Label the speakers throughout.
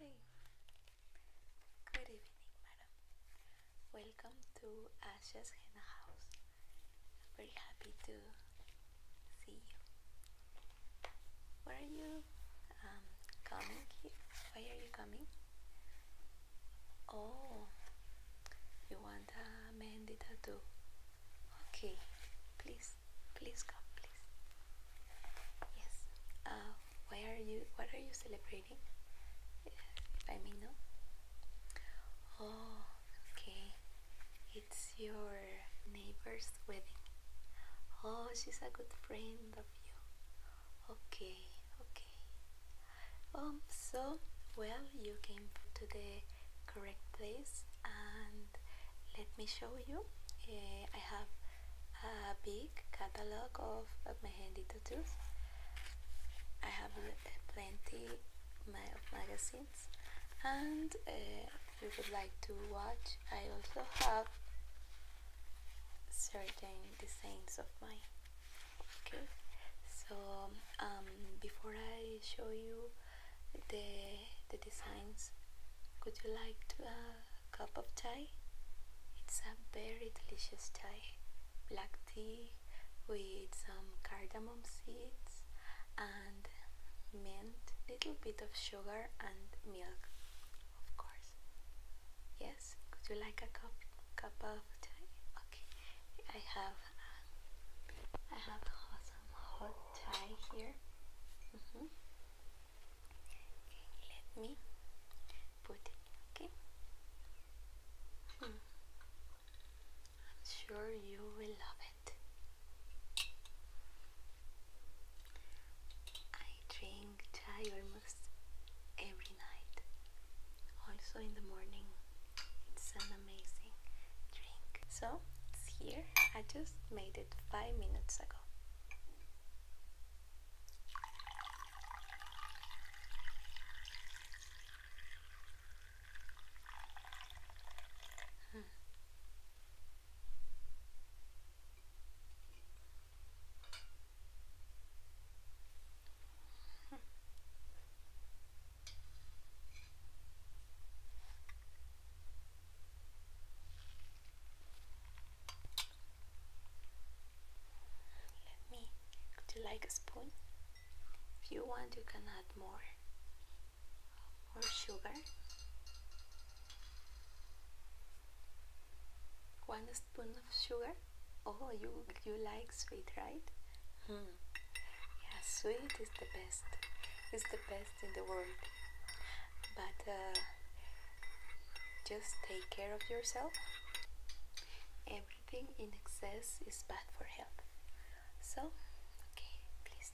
Speaker 1: Hi. Good evening, madam. Welcome to Asha's Henna House. I'm very happy to see you. Where are you um, coming here? Why are you coming? Oh, you want a Mandy tattoo? Okay, please, please come, please. Yes. Uh, why are you? What are you celebrating? If I know. Oh, okay it's your neighbor's wedding. Oh, she's a good friend of you. Okay, okay. Um, so well, you came to the correct place, and let me show you. Eh, I have a big catalog of, my handy tattoos. I have plenty of magazines and uh, if you would like to watch I also have certain designs of mine okay so um, before I show you the, the designs would you like to, uh, a cup of tea? It's a very delicious tea, black tea with some cardamom seeds mint, little bit of sugar and milk, of course. Yes, would you like a cup cup of tea? Okay, I have uh, I have some hot chai here. Mm-hmm. let me put it. Okay. Hmm. I'm sure you will love it. I drink chai almost every night, also in the morning. It's an amazing drink. So it's here. I just made it five minutes ago. Hmm. Let me. Would you like a spoon? If you want, you can add more or sugar one spoon of sugar oh you you like sweet right hmm. yeah sweet is the best it's the best in the world but uh, just take care of yourself everything in excess is bad for health so okay please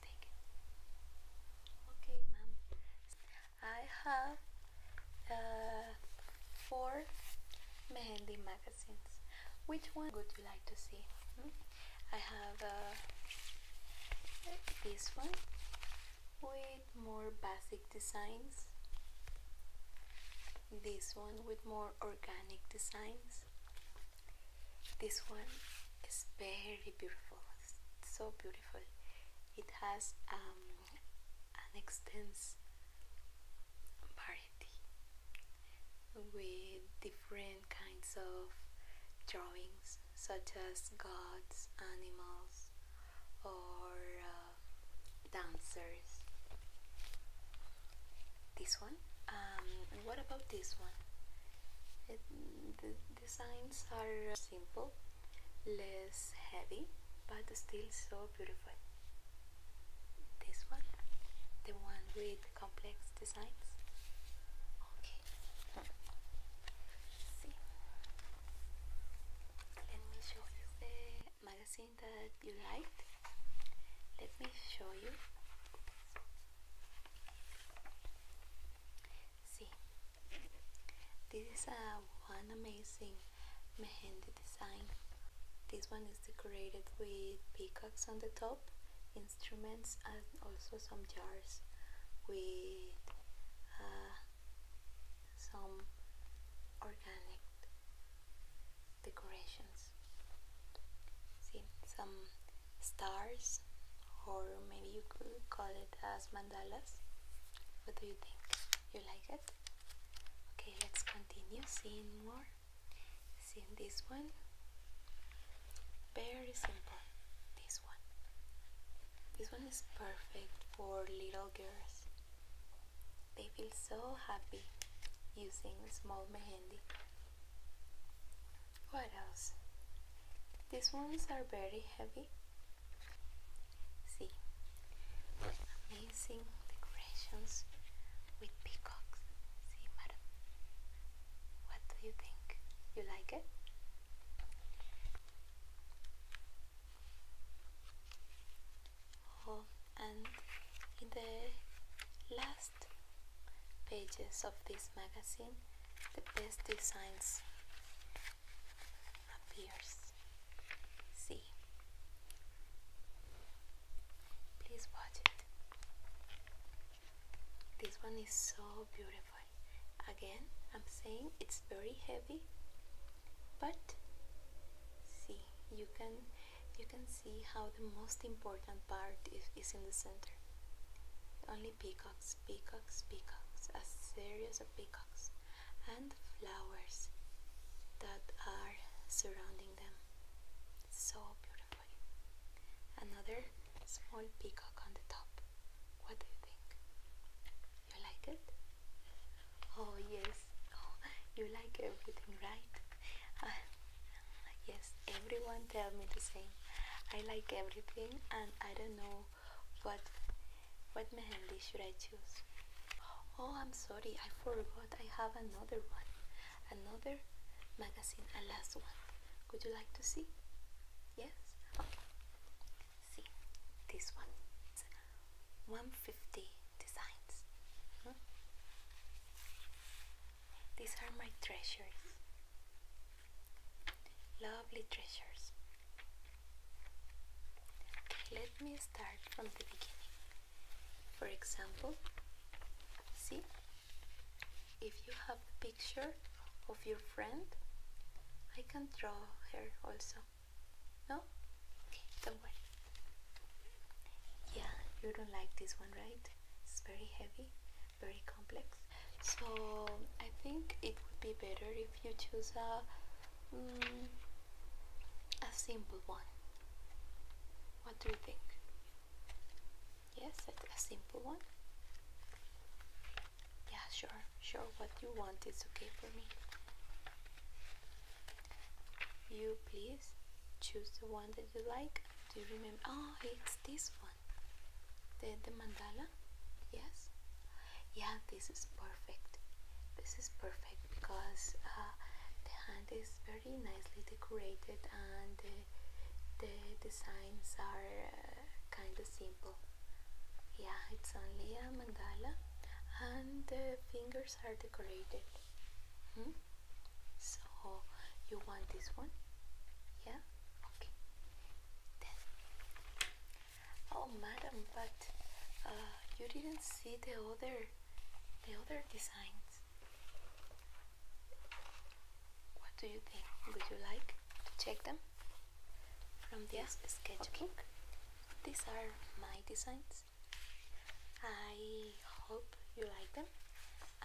Speaker 1: Okay, ma'am. I have uh, four Mehendi magazines. Which one would you like to see? Hmm? I have uh, this one with more basic designs. This one with more organic designs. This one it's very beautiful so beautiful it has um, an extensive variety with different kinds of drawings such as gods, animals or uh, dancers this one um, what about this one Designs are uh, simple, less heavy, but still so beautiful. This one, the one with complex designs. Okay. see. Let me show you the magazine that you liked. Let me show you See, this is a uh, one amazing mehendi design. This one is decorated with peacocks on the top, instruments, and also some jars with uh, some organic decorations. See, some stars or maybe you could call it as mandalas what do you think you like it okay let's continue seeing more seeing this one very simple this one this one is perfect for little girls they feel so happy using small mehendi what else? These ones are very heavy. See, amazing decorations with peacocks. See, madam. What do you think? You like it? Oh, and in the last pages of this magazine the best designs appears. See. Please watch it. This one is so beautiful. Again, I'm saying it's very heavy, but see, you can you can see how the most important part is, is in the center. Only peacocks peacocks, peacocks, a series of peacocks, and flowers that are surrounding them. So beautiful. Another small peacock on the top. What do you think? You like it? Oh, yes. Oh, you like everything, right? Ah, yes, everyone tells me the same. I like everything and I don't know what what mehendi should I choose? Oh, I'm sorry, I forgot. I have another one, another magazine, a last one. Would you like to see? Yes. See this one. 150 designs. Hmm? These are my treasures. Lovely treasures. Okay, let me start from the beginning. For example, see if you have a picture of your friend, I can draw her also. No? Okay, don't worry. Yeah, you don't like this one, right? It's very heavy very complex. So I think it would be better if you choose a mm, a simple one. What do you think? Yes, a simple one. Yeah, sure, sure. What you want is okay for me. You please choose the one that you like. Do you remember? Oh, it's this one the, the mandala yes yeah this is perfect this is perfect because uh, the hand is very nicely decorated and the designs are uh, kind of simple yeah it's only a mandala and the fingers are decorated hmm? so you want this one yeah okay then Oh, madam, but uh, you didn't see the other, the other designs. What do you think? Would you like to check them from the yeah. sketchbook? These are my designs. I hope you like them,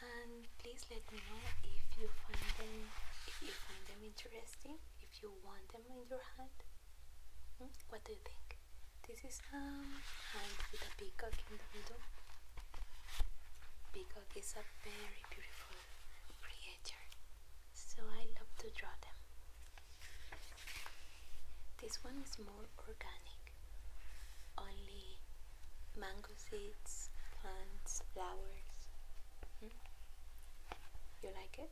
Speaker 1: and please let me know if you find them if you find them interesting if you want them in your hand. Hmm? What do you think? This is a hand with a peacock in the middle. Peacock is a very beautiful creature, so I love to draw them. This one is more organic, only mango seeds, plants, flowers, Hmm? You like it?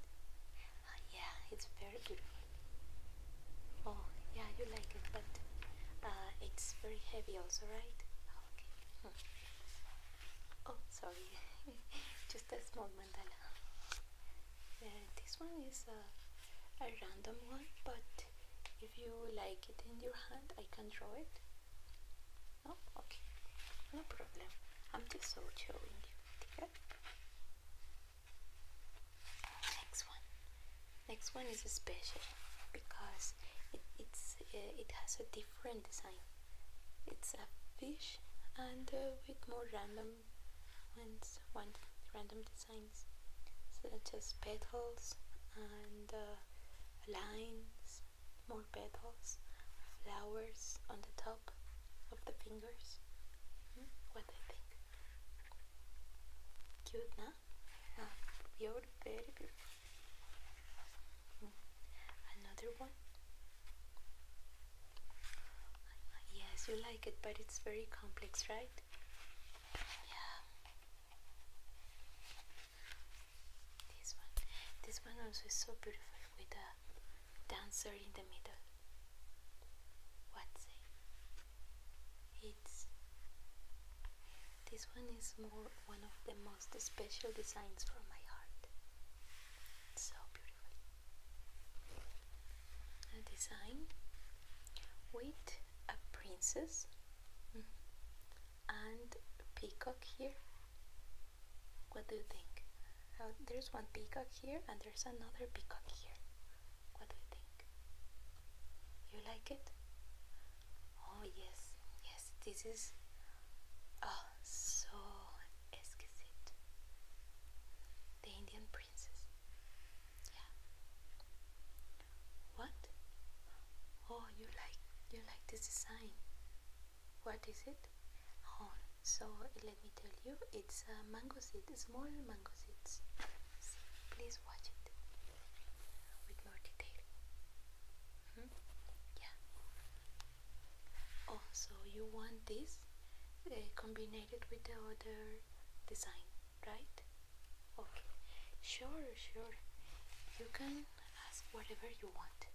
Speaker 1: Oh, yeah, it's very beautiful. Oh, yeah, you like it, but uh, it's very heavy, also, right? Oh, okay. Hmm. Oh, sorry. Just a small mandala. Uh, this one is a, a random one, but if you like it in your hand, I can draw it. No? Oh, okay. No problem. I'm just so showing you. Okay? Next one. Next one is special because it, it's uh, it has a different design. It's a fish and uh, with more random ones, one random designs such as petals and uh, lines more petals, flowers on the top of the fingers. Mm-hmm. What do you think? Cute, no? Ah, you're very beautiful. Mm. Another one. Yes, you like it, but it's very complex, right? Yeah. This one, this one also is so beautiful with a dancer in the middle. What's it? It's this one is more one of the most special designs for my heart. It's so beautiful. A design with a princess mm-hmm, and a peacock here what do you think? Oh, there's one peacock here and there's another peacock here. What do you think? You like it? Oh yes, yes, this is oh so exquisite. The Indian princess. Yeah. What? Oh you like you like this design. What is it? Oh, so let me tell you, it's a uh, mango seed, small mango seeds. See, please watch it with more detail. Mm-hmm. Yeah. Oh, so you want this uh, combined with the other design, right? Okay. Sure, sure. You can ask whatever you want.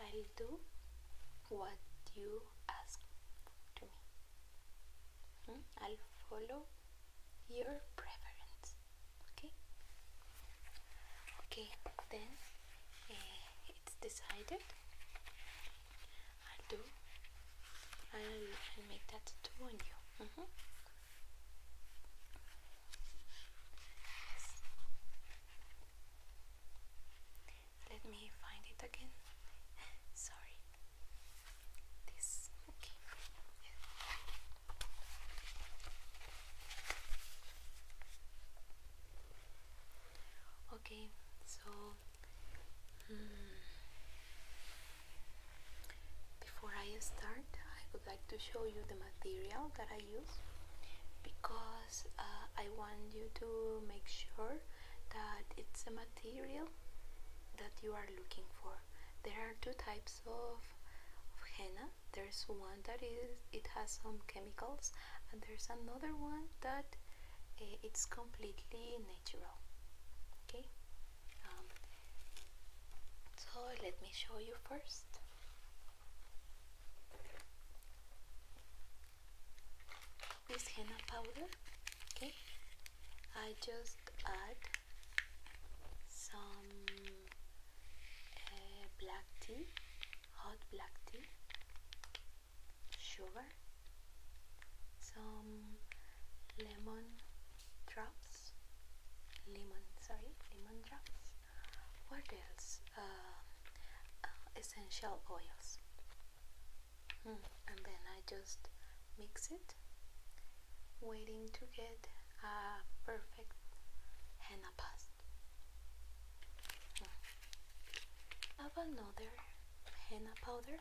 Speaker 1: I'll do what you ask to me. Hmm? I'll follow your preference. Okay? Okay, then eh, it's decided. I'll do, I'll, I'll make that tattoo on you. Mm-hmm. Let me find it again. Sorry. This okay. Okay, so hmm, before I start, I would like to show you the material that I because uh, I want you to make sure that it's a material that you are looking for. There are two types of, henna. There's one that is it has some chemicals, and there's another one that eh, it's completely natural. Okay, um, so let me show you first this henna powder okay I just add some eh, black tea hot black tea sugar some lemon drops lemon sorry lemon drops what else uh, uh, essential oils hmm, and then I just mix it waiting to get a perfect henna paste hmm. have another henna powder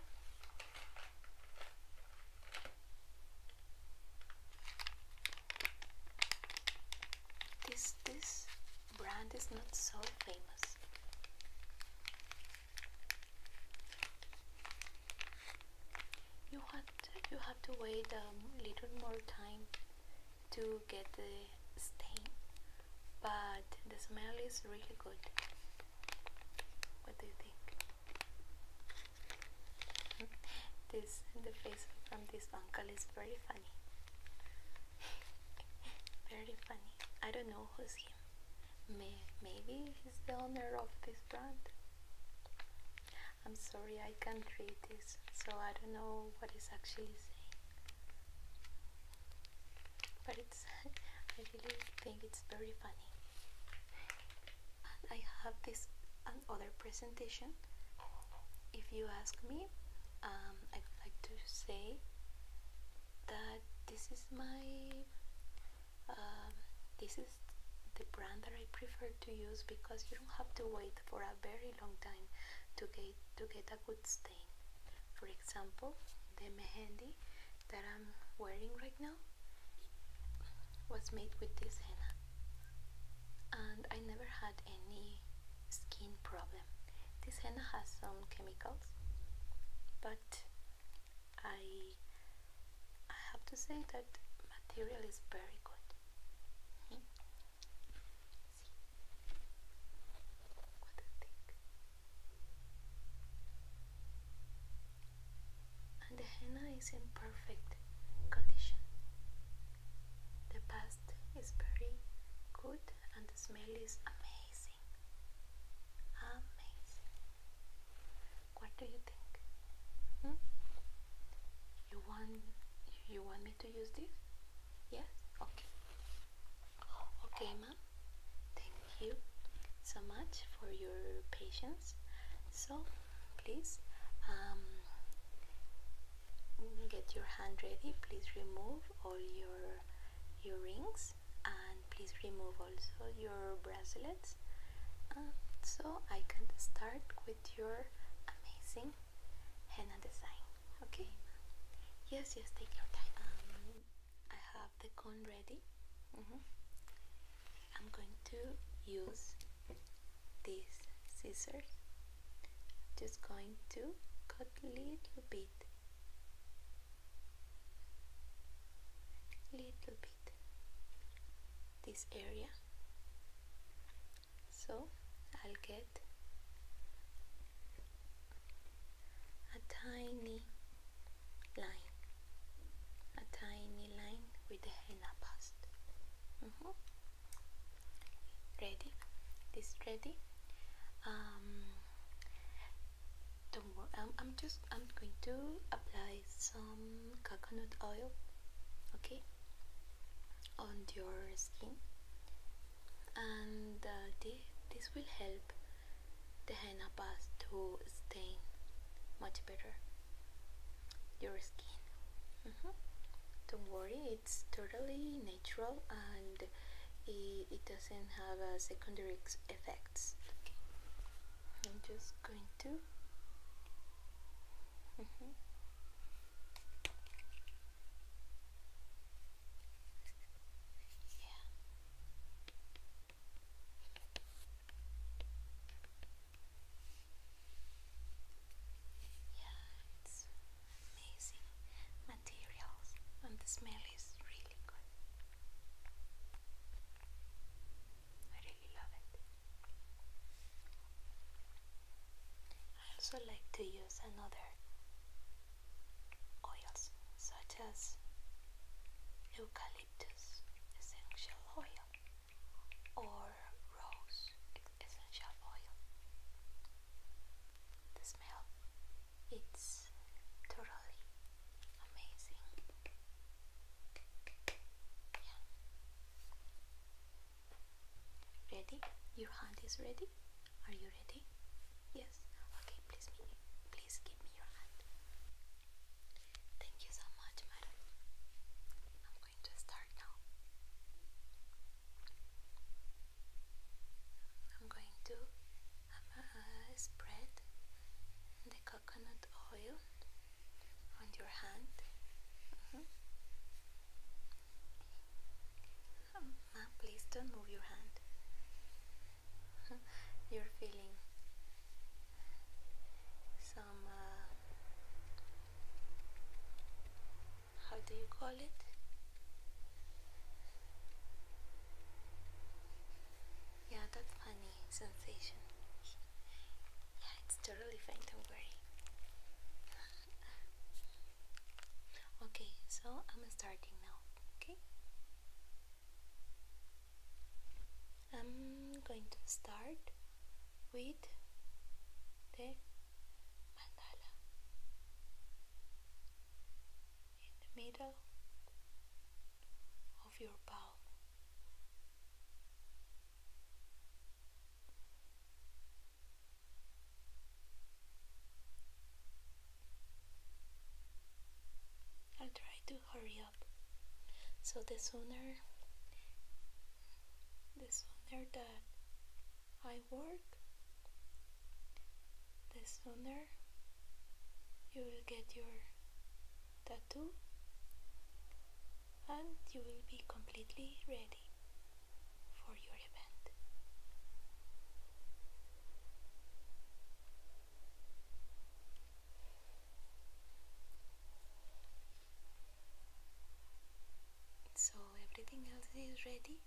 Speaker 1: this this brand is not so famous. You have to, you have to wait a um, little more time to get the stain, but the smell is really good. What do you think? this the face from this uncle is very funny. Very funny. I don't know who's him. May maybe he's the owner of this brand. I'm sorry, I can't read this, so I don't know what he's actually saying. But it's, I really think it's very funny. I have this another presentation. If you ask me, um, I'd like to say that this is my um, this is the brand that I prefer to use because you don't have to wait for a very long time to get to get a good stain. For example, the mehendi that I'm wearing right now was made with this henna and I never had any skin problem this henna has some chemicals, but I I have to say that material is very good. Hmm. What do you think? And the henna is in perfect condition. The past is very good and the smell is amazing. Amazing. What do you think? Hmm? You want you want me to use this? Yes? Okay. Okay, ma'am. Thank you so much for your patience. So please um, get your hand ready. Please remove all your your rings and please remove also your bracelets uh, so I can start with your amazing henna design okay yes yes take your time um, I have the cone ready mm-hmm. I'm going to use these scissors just going to cut a little bit little bit this area so I'll get a tiny line a tiny line with the henna paste. Mm-hmm. ready this ready um, don't worry. I'm, I'm just I'm going to apply some coconut oil. Okay. On your skin, and uh, this, this will help the henna paste to stain much better your skin. Mm-hmm. Don't worry, it's totally natural and it, it doesn't have uh, secondary effects. I'm just going to. Mm-hmm. Yeah amazing materials and the smell is really good. I really love it. I also like to use another oils such as eucalyptus essential oil or rose essential oil the smell, it's totally amazing. Ready? Your hand is ready? Are you ready? Yes. Okay, please please give me your hand. Thank you so much, madam. I'm going to start now. I'm going to uh, spread the coconut oil on your hand. Uh-huh. Um, please don't move your hand. You're feeling some, uh, how do you call it? Yeah, that funny sensation. yeah, it's totally fine, don't worry. okay, so I'm starting now, okay? I'm going to start with the mandala in the middle of your palm. I'll try to hurry up. So the sooner the sooner that I I work, the sooner you will get your tattoo and you will be completely ready for your event. So everything else is ready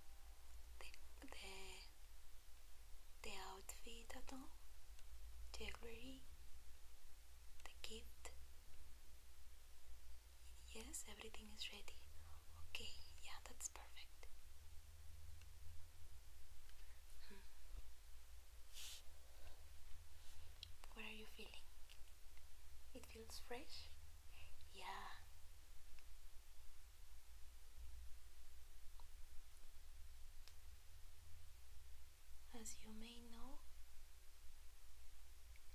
Speaker 1: the, the, the outfit at all, jewelry, the gift. Yes, everything is ready. Okay, yeah, that's perfect. Hmm. What are you feeling? It feels fresh? Yeah. As you may know,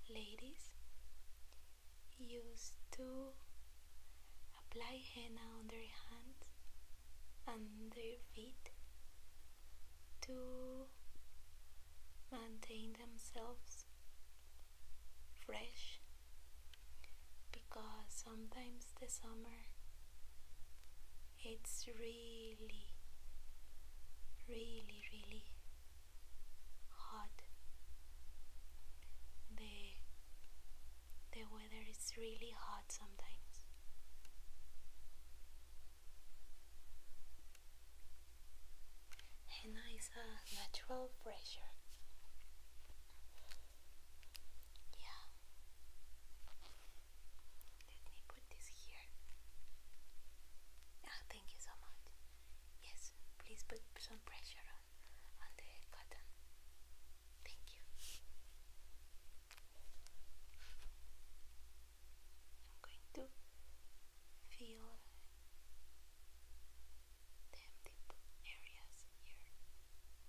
Speaker 1: ladies used to apply henna on their hands and their feet to maintain themselves fresh because sometimes the summer it's really, really, really hot. The, the weather is really hot sometimes. Henna is a natural pressure. Yeah. Let me put this here. Ah, thank you so much. Yes, please put some pressure on, on the cotton. Thank you. I'm going to feel them deep areas here.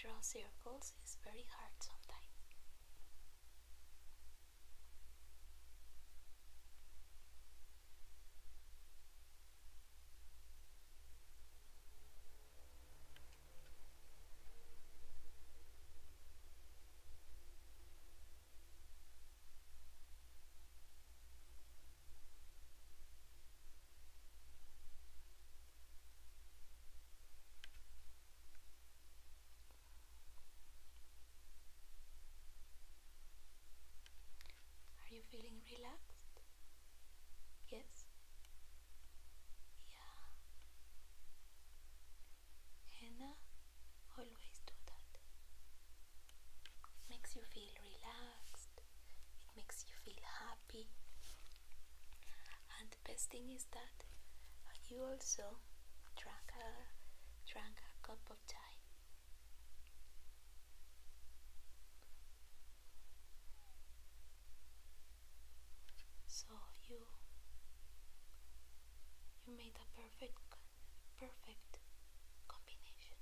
Speaker 1: Draw circles is very hard sometimes. Are you feeling relaxed? Yes. Henna always do that. makes you feel relaxed. It makes you feel happy. And the best thing is that you also drank a drank a cup of tea. So you you made a perfect perfect combination.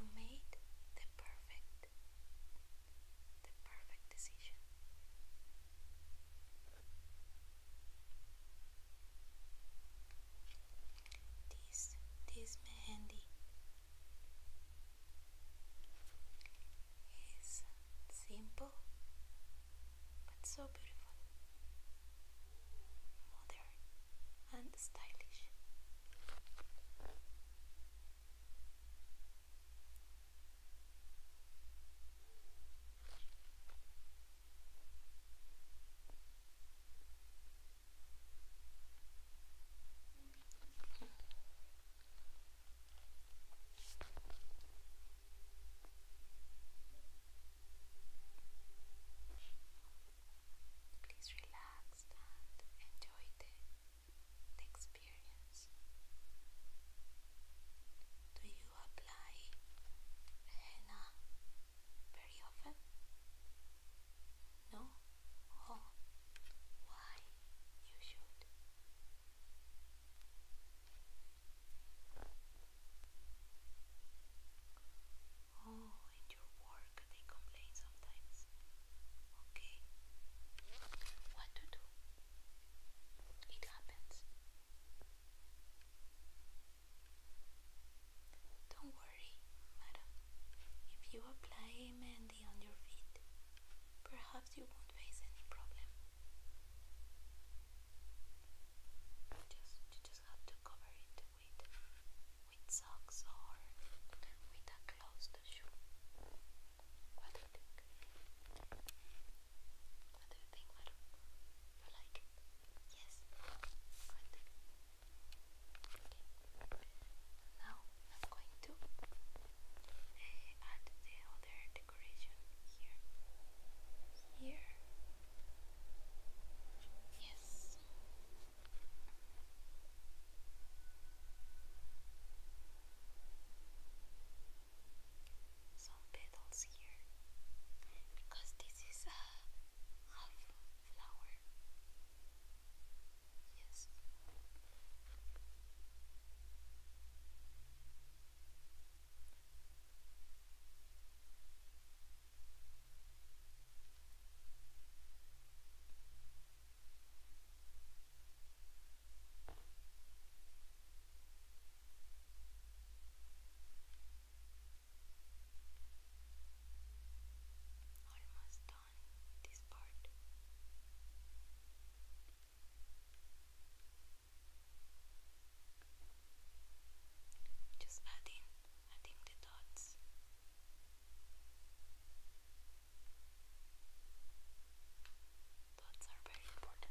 Speaker 1: You made the perfect the perfect decision this this mehendi is simple but so beautiful modern and stylish Please relax and enjoy the, experience. Do you you apply henna uh, very often? No? Oh, why you should? Oh, in your work they complain sometimes. Okay, what to do? It happens. Don't worry, madam. If you apply Mandy on your feet, perhaps you won't face any problem. just, you just have to cover it with, with socks or with a closed shoe. What do you think? What do you think, madam? You like Yes. Now I'm going to add the other decoration here. Here. Yes some petals here because this is a half flower. Yes. Almost done this part. Just adding, adding the dots. Dots are very important.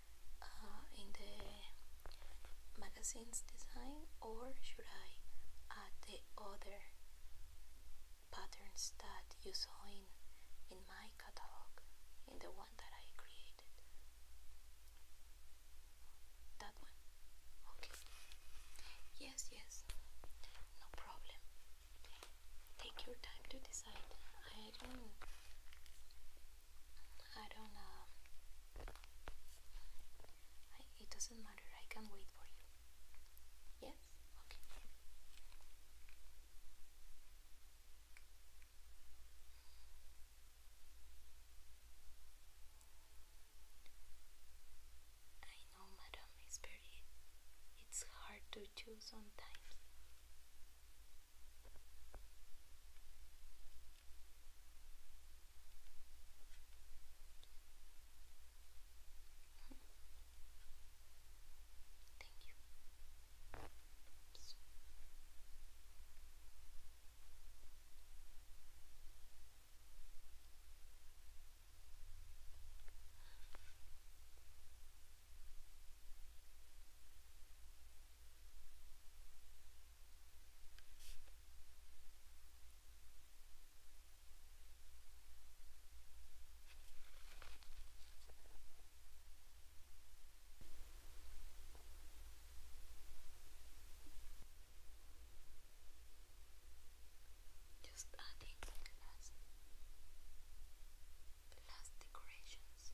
Speaker 1: Uh, in the magazine's design or should I add the other patterns that you saw in, in my catalog, in the one that I created? That one? Okay. Yes, yes. No problem. Take your time to decide. I don't I don't know. it doesn't matter. I can wait for you. Yes? Okay. I know, madam, it's very. It's hard to choose sometimes. Thank you. Oops. Just adding the last, the last decorations.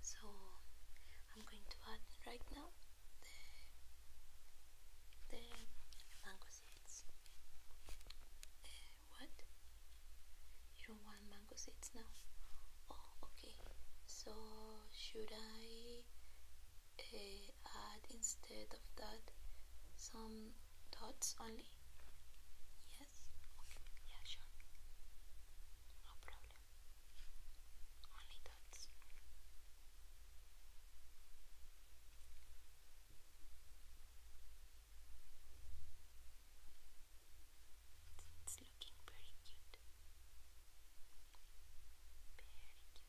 Speaker 1: So I'm going to add right now the the mango seeds. Uh, what? You don't want mango seeds now? Oh, okay. So should I uh, add instead of that some dots only? Yes? yeah, sure. No problem. Only dots. it's looking very cute. Very cute.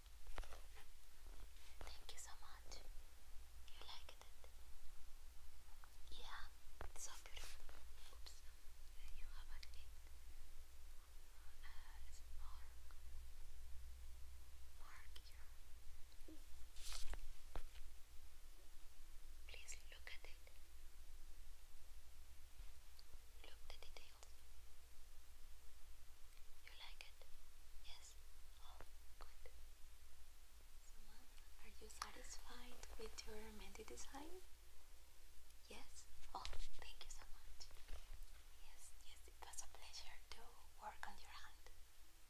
Speaker 1: Thank you so much. You liked it? Yeah, so beautiful. Oops, you have a need. Uh, mark Please look at it. Look at it. You like it? Yes? Oh, good. So, are you satisfied with your Menti design? Yes? Oh, thank you so much. Yes, yes, it was a pleasure to work on your hand.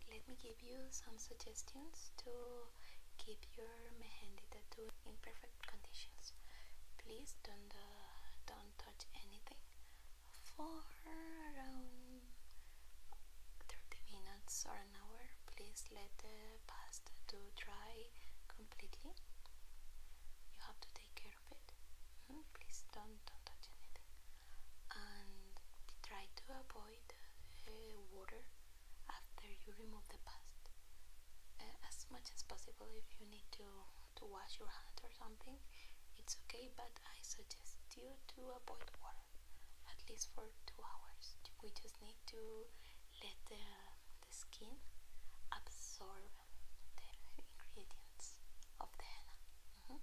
Speaker 1: Let me give you some suggestions to keep your mehendi tattoo in perfect conditions. Please don't, uh, don't touch anything for around 30 minutes or an hour. Please let the pasta to dry completely. You have to take care of it. Mm-hmm. Please don't, don't touch anything. And try to avoid uh, water after you remove the pasta uh, as much as possible if you need to to wash your hands or something, it's okay, but I suggest you to avoid water at least for two hours. We just need to let the, the skin absorb the ingredients of the henna. Mm-hmm.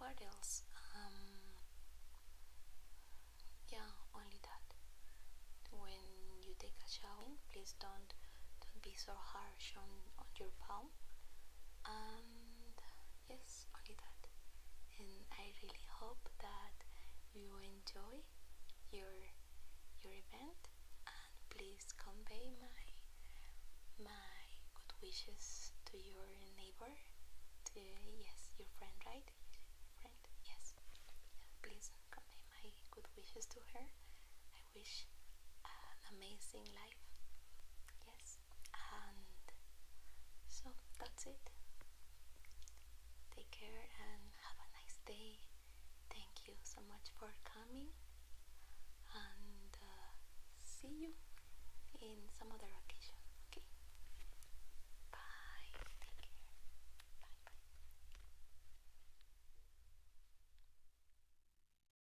Speaker 1: What else? Um, yeah, only that. When you take a shower, please don't don't be so harsh on, on your palm and yes only that and I really hope that you enjoy your your event and please convey my my good wishes to your neighbor yes your friend right friend yes please convey my good wishes to her wish amazing life. Yes, and so that's it. Take care and have a nice day. Thank you so much for coming, and uh, see you in some other occasion. Okay, bye. Take care. Bye bye.